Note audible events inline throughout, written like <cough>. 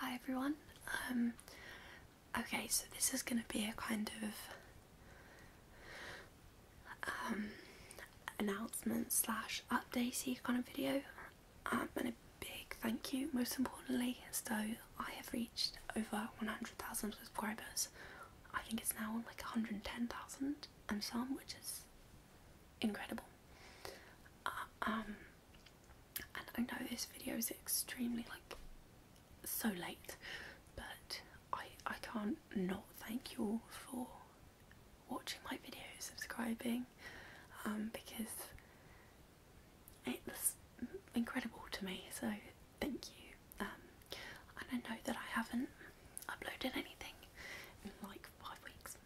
Hi everyone. Um, okay, so this is going to be a kind of um, announcement slash updatey kind of video, um, and a big thank you. Most importantly, so I have reached over 100,000 subscribers. I think it's now like 110,000 and some, which is incredible. Uh, um, and I know this video is extremely like so late, but I I can't not thank you all for watching my videos, subscribing, um, because it's incredible to me. So thank you. Um, don't know that I haven't uploaded anything in like five weeks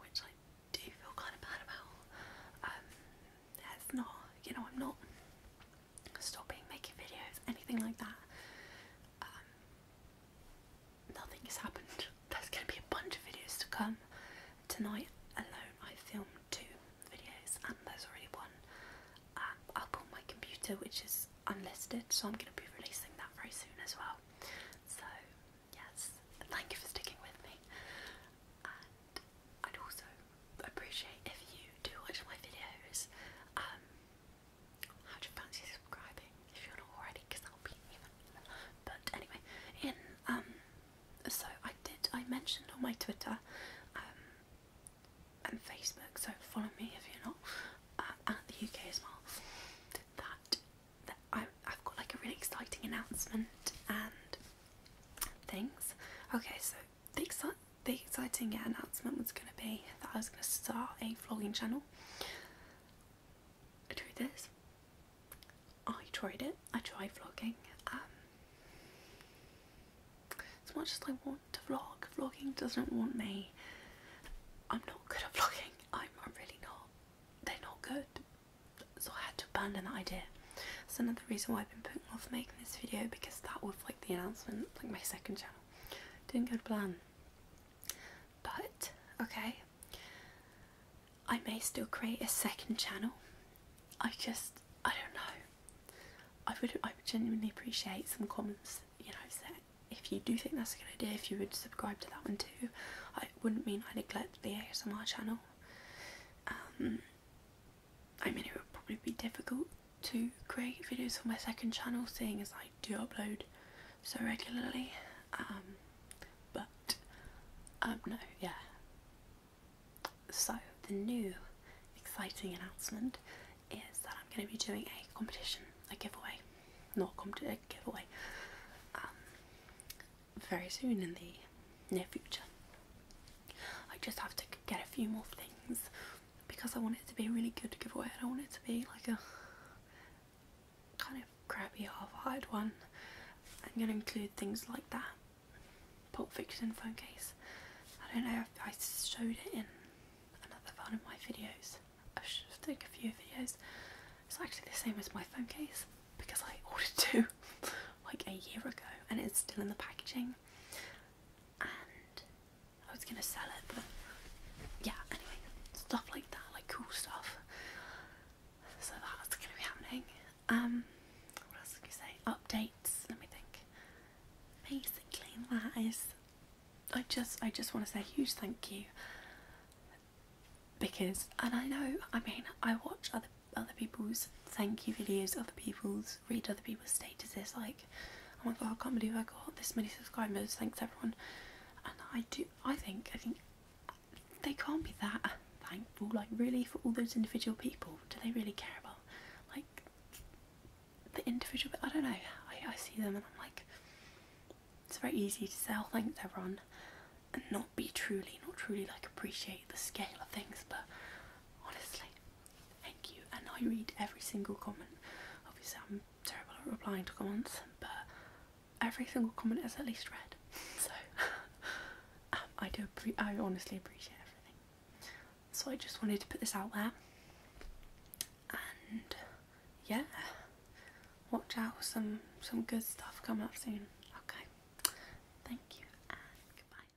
which I do feel kind of bad about. Um, that's not, you know, I'm not stopping making videos, anything like that. Um, nothing has happened. There's going to be a bunch of videos to come. Tonight alone, I filmed two videos, and there's already one up um, on my computer, which is unlisted, so I'm going to be releasing that very soon as well. So, yes, thank you for sticking with me. And I'd also appreciate if you do watch my videos. Um, how'd you fancy subscribing if you're not already? Because that'll be even. But anyway, in um, so I did. I mentioned on my Twitter um, and Facebook, so follow me if you're not, uh, at the UK as well. That, I, I've got like a really exciting announcement and things. Okay, so the, exci the exciting announcement was going to be that I was going to start a vlogging channel. I tried this. I tried it. I tried vlogging. Um, as much as I want to vlog, vlogging doesn't want me. I'm not good at vlogging. I'm, really not. They're not good. So I had to abandon that idea. That's another reason why I've been putting off making this video because that was like the announcement, like my second channel. Didn't go to plan. But, okay. I may still create a second channel I just I don't know. I would I genuinely appreciate some comments, you know, if you do think that's a good idea, if you would subscribe to that one too. I wouldn't mean I neglect the ASMR channel. Um, I mean, it would probably be difficult to create videos for my second channel, seeing as I do upload so regularly. Um, but um, no, yeah, so, the new exciting announcement is that I'm going to be doing a competition, a giveaway, not a, comp giveaway, um, very soon in the near future. I just have to get a few more things because I want it to be a really good giveaway. I don't want it to be like a kind of crappy half hard one. I'm going to include things like that. Pulp Fiction phone case. I don't know if I showed it in another one of my videos. I should take a few videos. It's actually the same as my phone case because I <laughs> ordered two like a year ago and it's still in the packaging. And I was going to sell it but yeah anyway stuff like that cool stuff. So that's gonna be happening. Um, what else can you say? Updates. Let me think. Basically, that is. I just, I just want to say a huge thank you because, and I know, I mean, I watch other other people's thank you videos, other people's read other people's statuses, like oh my god, I can't believe I got this many subscribers. Thanks everyone. And I do, I think, I think they can't be that thankful. Like, really, for all those individual people, do they really care about like the individual? I don't know. I, I see them and I'm like, it's very easy to say, oh, Thanks everyone, and not be truly, not truly like appreciate the scale of things. But honestly, Thank you. And I read every single comment. Obviously, I'm terrible at replying to comments, but every single comment is at least read. <laughs> So <laughs> um, I do. appreciate. I honestly appreciate everything. So I just wanted to put this out there. And yeah, watch out for some some good stuff coming up soon. Okay. Thank you and goodbye.